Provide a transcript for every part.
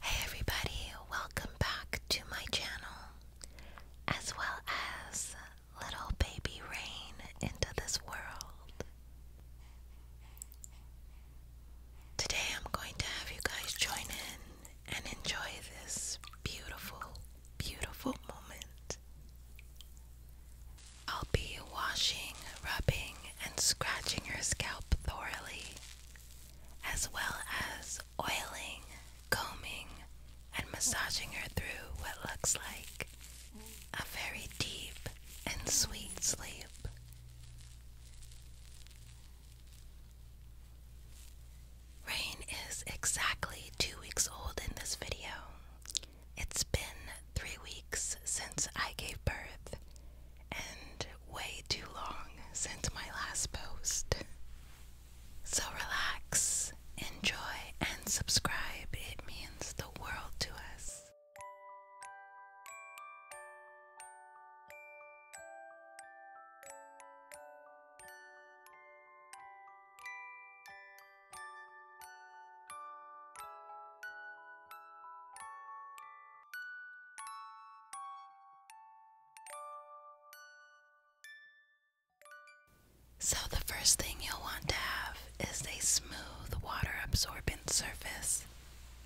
Hey everybody, welcome back to my channel, as well as little baby Rain into this world. Today I'm going to have you guys join in and enjoy this beautiful, beautiful moment. I'll be washing, rubbing, and scratching your scalp thoroughly as well as oiling, combing, and massaging her through what looks like a very deep and sweet sleep. Rain is exactly two weeks old in this video. It's been three weeks since I gave birth, and way too long since my last post. So relax, enjoy, and subscribe. It means the world to us. So, the first thing you'll want to have is a smooth, water absorbent surface.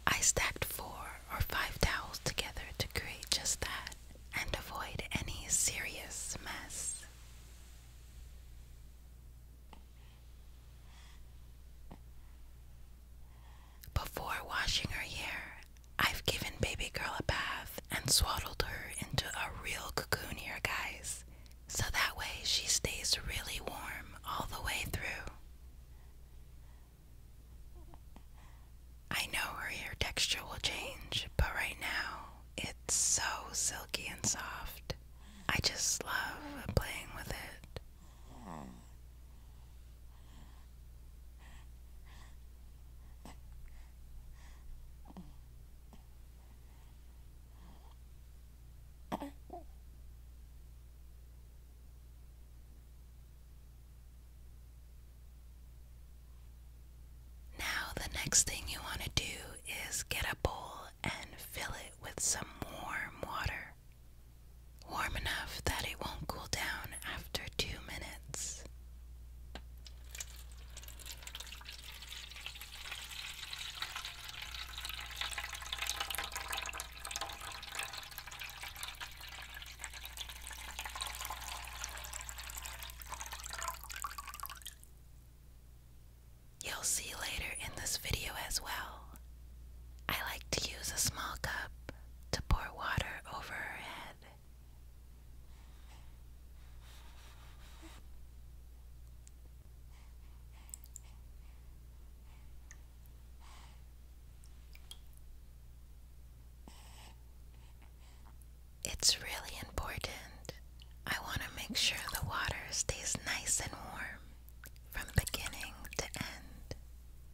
I stacked four or five towels together to create just that and avoid any serious mess. Before washing her hair, I've given baby girl a bath and swaddled her into a real cocoon here, guys, so that way she stays really warm all the way through. I know her hair texture will change, but right now it's so silky and soft. I just love playing with it. Now, the next thing you want to do is get a bowl and fill it with some warm water warm enough that it won't cool down after two minutes. You'll see later in this video as well I like to use a small cup to pour water over her head. It's really important. I want to make sure the water stays nice and warm from beginning to end.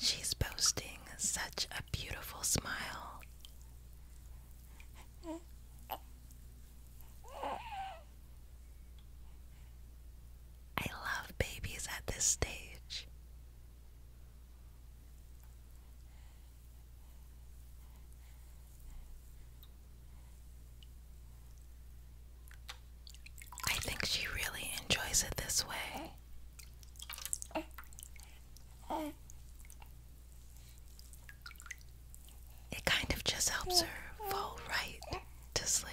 She's posting such a beautiful smile. I love babies at this stage. I think she really enjoys it this way. It kind of just helps her fall right to sleep.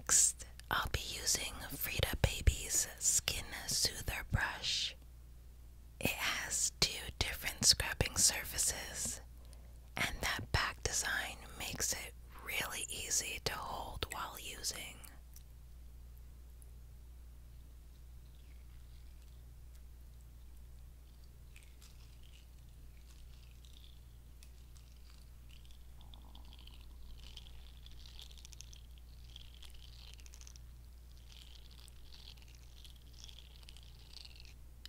Next, I'll be using Frida Baby's Skin Soother Brush. It has two different scrubbing surfaces and that back design makes it really easy to hold while using.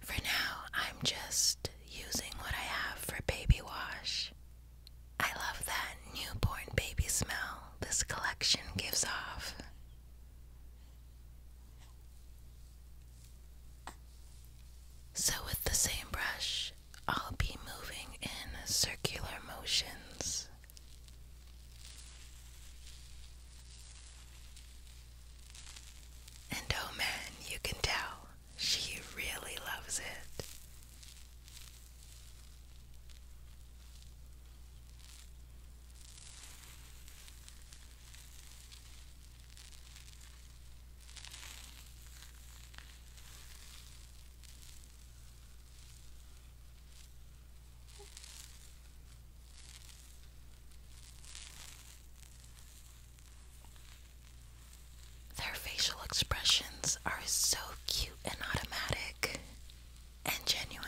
For now, I'm just using what I have for baby wash. I love that newborn baby smell this collection gives off. So, with the same brush, I'll be moving in circular motions. And oh man, you can tell she really loves it. Their facial expressions are so cute and automatic and genuine.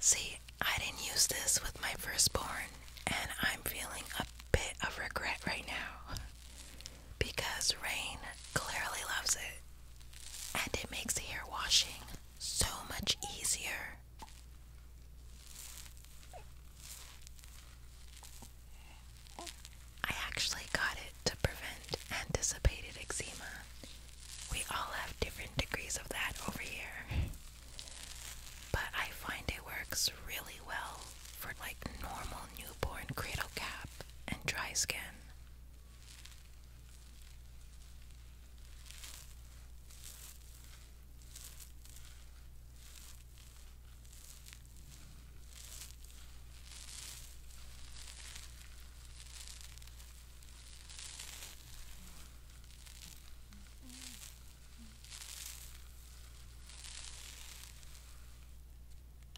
See, I didn't use this with my firstborn, and I'm feeling a bit of regret right now because Rain clearly loves it, and it makes hair washing so much easier. I actually got it to prevent anticipated eczema we all have different degrees of that over here. But I find it works really well for like normal newborn cradle cap and dry skin.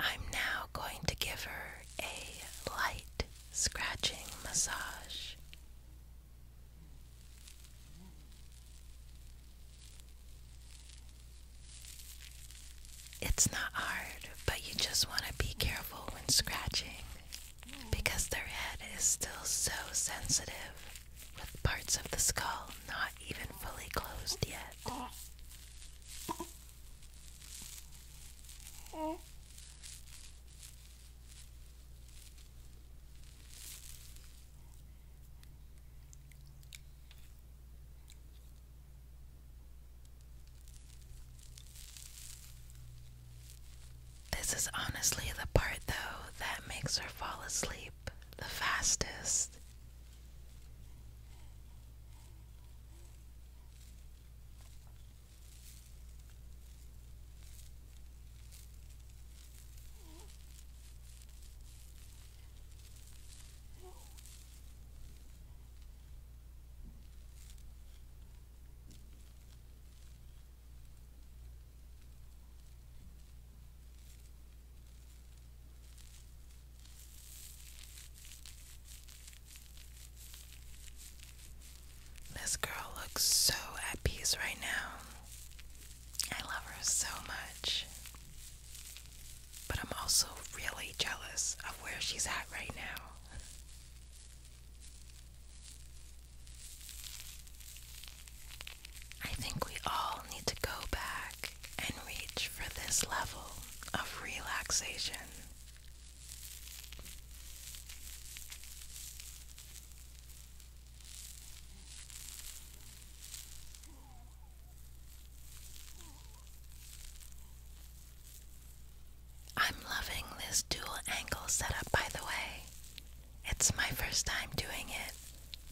I'm now going to give her a light scratching massage. It's not hard, but you just want to be careful when scratching because their head is still so sensitive with parts of the skull not even fully closed yet. This is honestly the part, though, that makes her fall asleep the fastest. This girl looks so at peace right now. I love her so much. But I'm also really jealous of where she's at right now. I think we all need to go back and reach for this level of relaxation. I'm loving this dual angle setup, by the way. It's my first time doing it,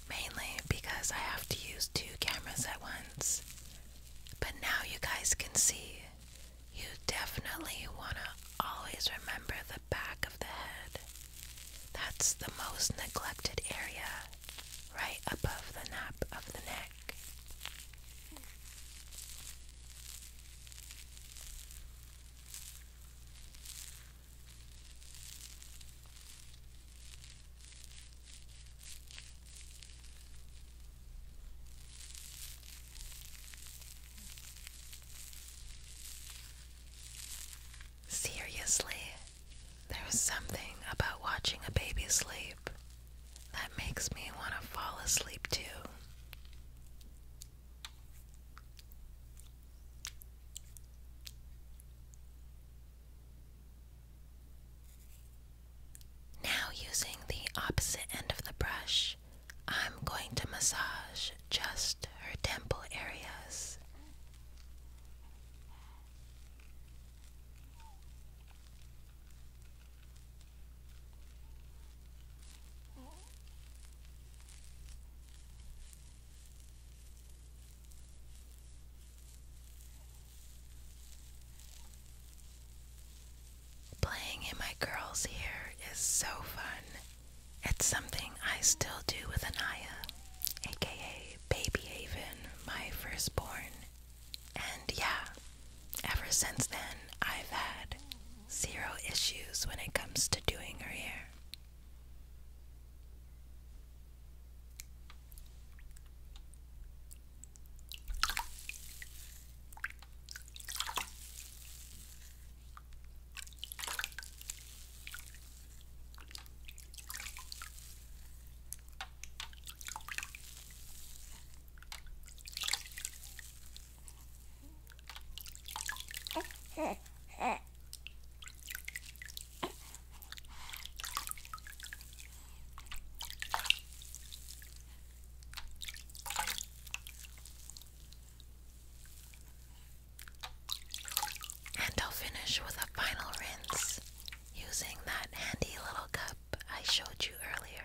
mainly because I have to use two cameras at once. But now you guys can see. You definitely want to always remember the back of the head. That's the most neglected area, right above the nape of the neck. Seriously, there something about watching a baby sleep that makes me want to fall asleep too. Now, using the opposite end of the brush, I'm going to massage just her temple areas. Playing in my girl's hair so fun. It's something I still do with Anaya, aka Baby Haven, my firstborn. And yeah, ever since then, I've had zero issues when it comes to doing her hair. And I'll finish with a final rinse using that handy little cup I showed you earlier.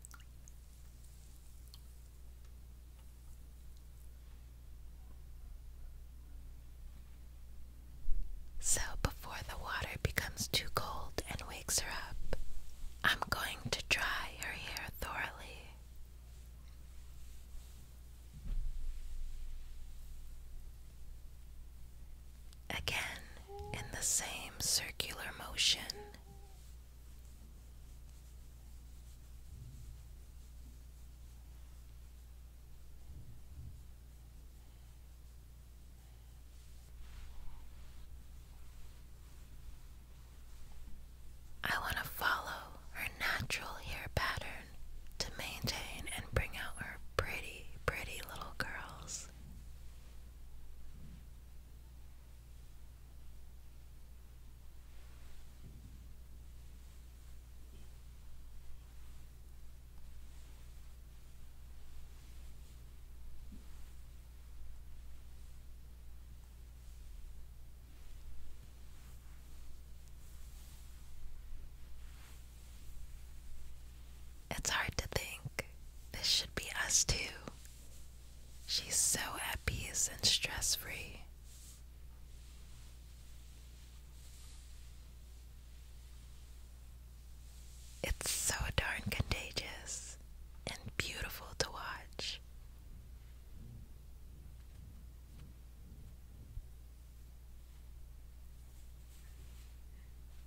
So, before the water becomes too cold and wakes her up, I'm going to dry her hair thoroughly. Again, in the same circular motion, I want to follow her natural hair pattern to maintain and bring out her pretty, pretty little curls. It's hard to think. This should be us too. She's so at peace and stress free. It's so darn contagious and beautiful to watch.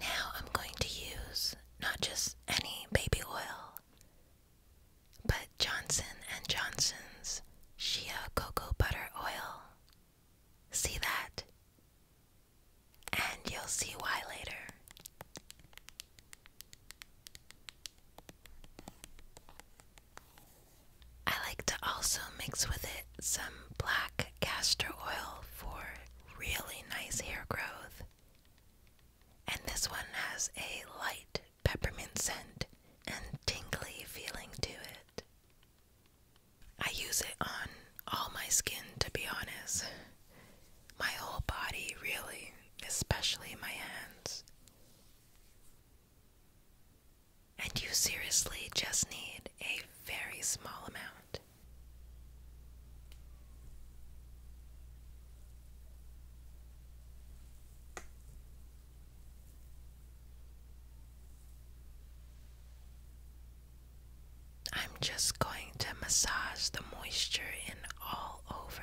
Now I'm going to use not just any baby oil, but Johnson and Johnson's Shea cocoa butter oil. See that? And you'll see why later. I like to also mix with it some black castor oil for really nice hair growth. And this one has a light peppermint scent and tingly feeling to it. I use it on all my skin, to be honest. My whole body, really, especially my hands. And you seriously just need a very small amount. I'm just going to massage the moisture in all over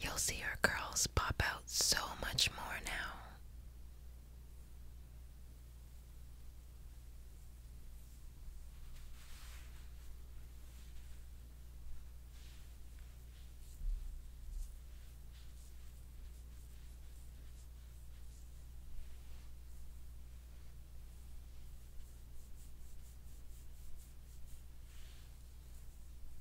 You'll see her curls pop out so much more now.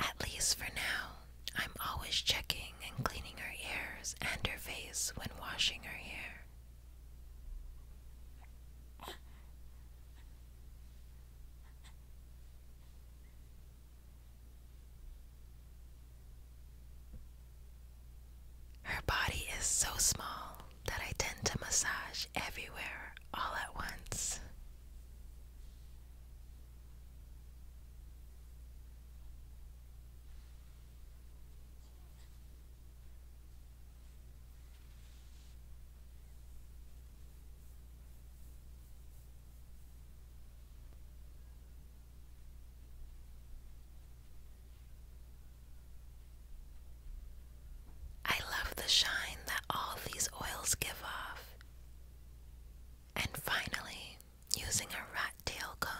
At least for now, I'm always checking and cleaning her ears and her face when washing her hair. Her body is so small that I tend to massage everywhere all at once. I love the shine that all these oils give off. And finally, using a rat tail comb.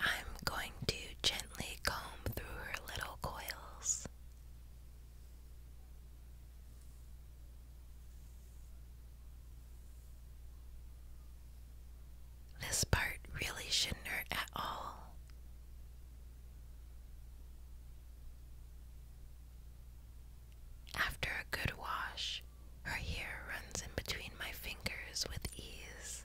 I'm going to gently comb through her little coils. This part really shouldn't hurt at all. After a good wash, her hair runs in between my fingers with ease.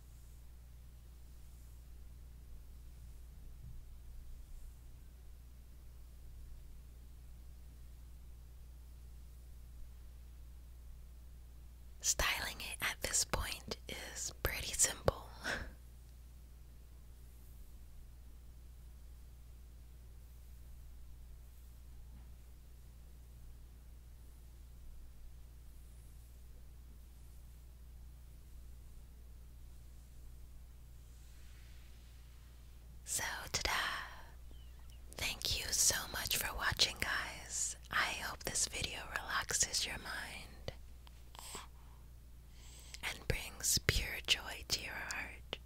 Styling it at this point is pretty simple. So, ta-da! Thank you so much for watching, guys. I hope this video relaxes your mind and brings pure joy to your heart.